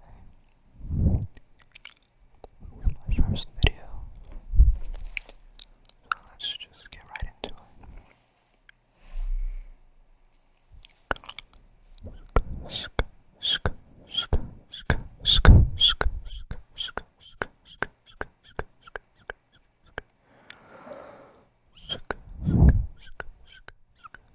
Hey, this my first video, so let's just get right into it.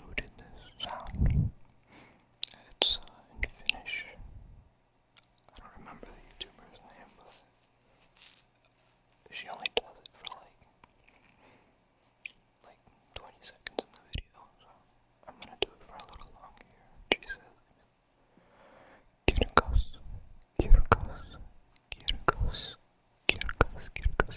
who did this It's uh, Finnish. I don't remember the YouTuber's name, but she only does it for like like 20 seconds in the video, so I'm gonna do it for a little longer here. She says, Kirkos, Kirkos, Kirkos, Kirkos, Kirkos,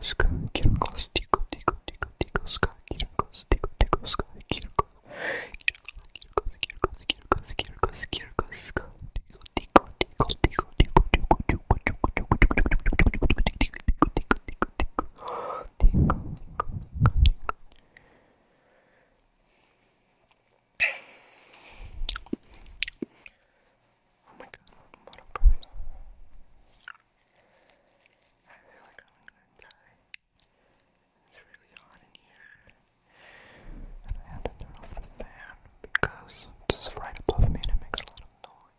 Sky Kirko Stiko Tiko Tiko Tiko Sky Kirko Stiko Tiko Sky Kirko Kirko Kirko Kirko Kirko Kirko Sky Tiko Tiko Tiko Tiko Tiko Tiko Tiko Tiko Tiko Tiko Tiko Tiko Tiko Tiko Tiko Oh my god, what a person. I feel like I'm gonna die. It's really hot in here. And I had to turn off the fan because this right above me and it makes a lot of noise.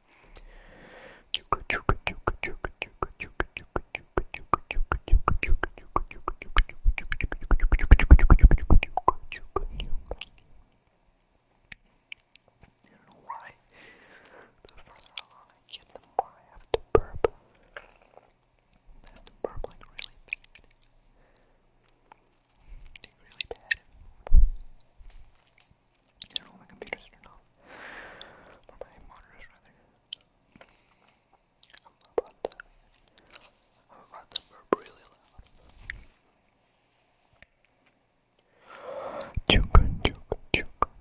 don't know why. The further along I get, the more I have to burp. I have to burp like really bad. Like really bad. Well, my computer's turned off. Or my monitor's rather. I'm about to, I'm about to burp really loud. Joker, joker,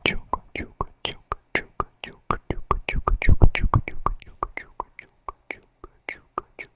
joker, joker, joker, joker, joker, joker, joker, joker, joker, joker, joker, joker, joker,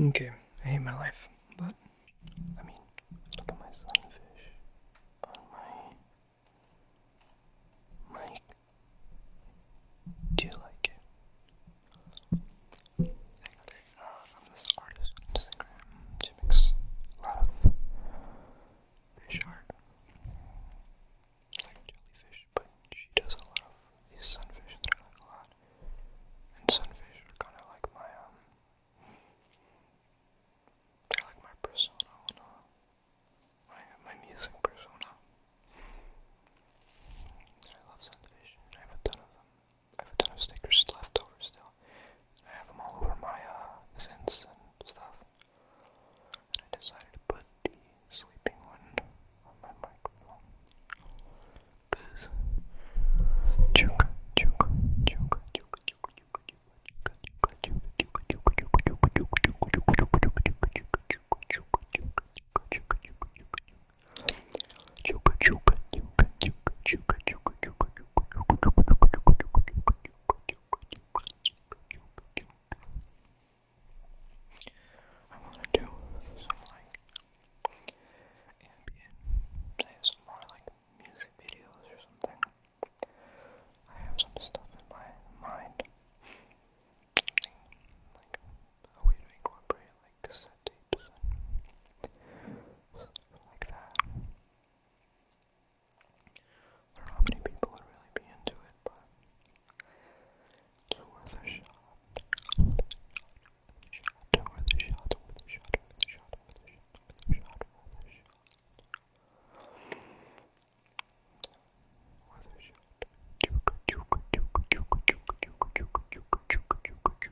Okay, I hate my life, but I mean, look at my sunfish on my mic. Do you like it? I got this artist on Instagram. a lot of fish art, like jellyfish, but she does a lot of these sunfish that I like a lot. And sunfish are kind of like my um, they're like my persona, my my music persona. I love sunfish, I have a ton of them. I have a ton of stickers left over still. I have them all over my uh, scents and stuff. And I decided to put the sleeping one on my microphone. Cause choke, choke, choke, choke, choke, I wanna do some like ambient say some more like music videos or something. I have some stuff in my mind. Like a way to incorporate like like settings that. I don't know how many people would really into it, but it's worth a shot. Shot, worth a shot, worth a shot, worth a shot, worth a shot, worth a shot, worth a shot. Worth a shot. Juke, juke, juke, juke, juke, juke, juke, juke, juke,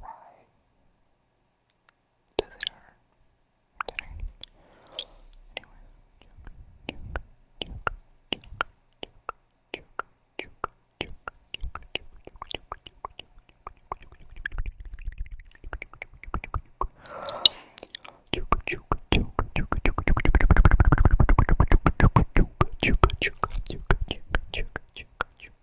Why does it hurt? I'm kidding. Anyway, juke, juke, juke, juke, juke, juke, juke, juke, juke,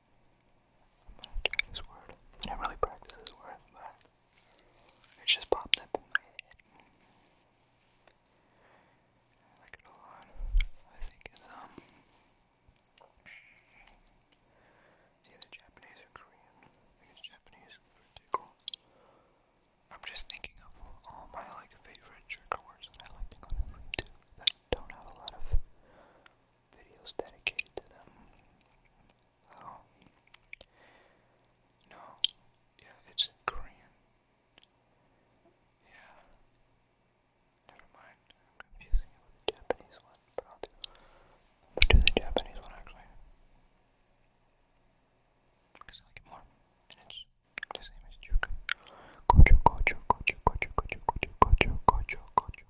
I'm not really practice this word, but it just popped up in my head. I like it a lot. I think it's, um, either Japanese or Korean. Japanese for tickle. I'm just thinking of all my, like, favorite trigger words I like to go to that don't have a lot of videos dedicated to them. Oh. No. Yeah, it's Korean. Yeah. Never mind. confusing it with Japanese one, do, the Japanese one actually. Because I like it more. And it's the same as Juke. Gocho, gocho, gocho, gocho, gocho, gocho, gocho, gocho, gocho,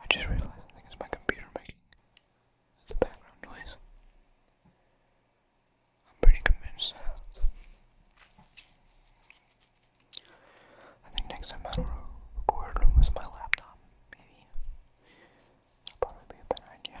I just realized I think it's my computer making the background noise. I'm pretty convinced. I think next time i record with my laptop, maybe. That'll probably be a better idea.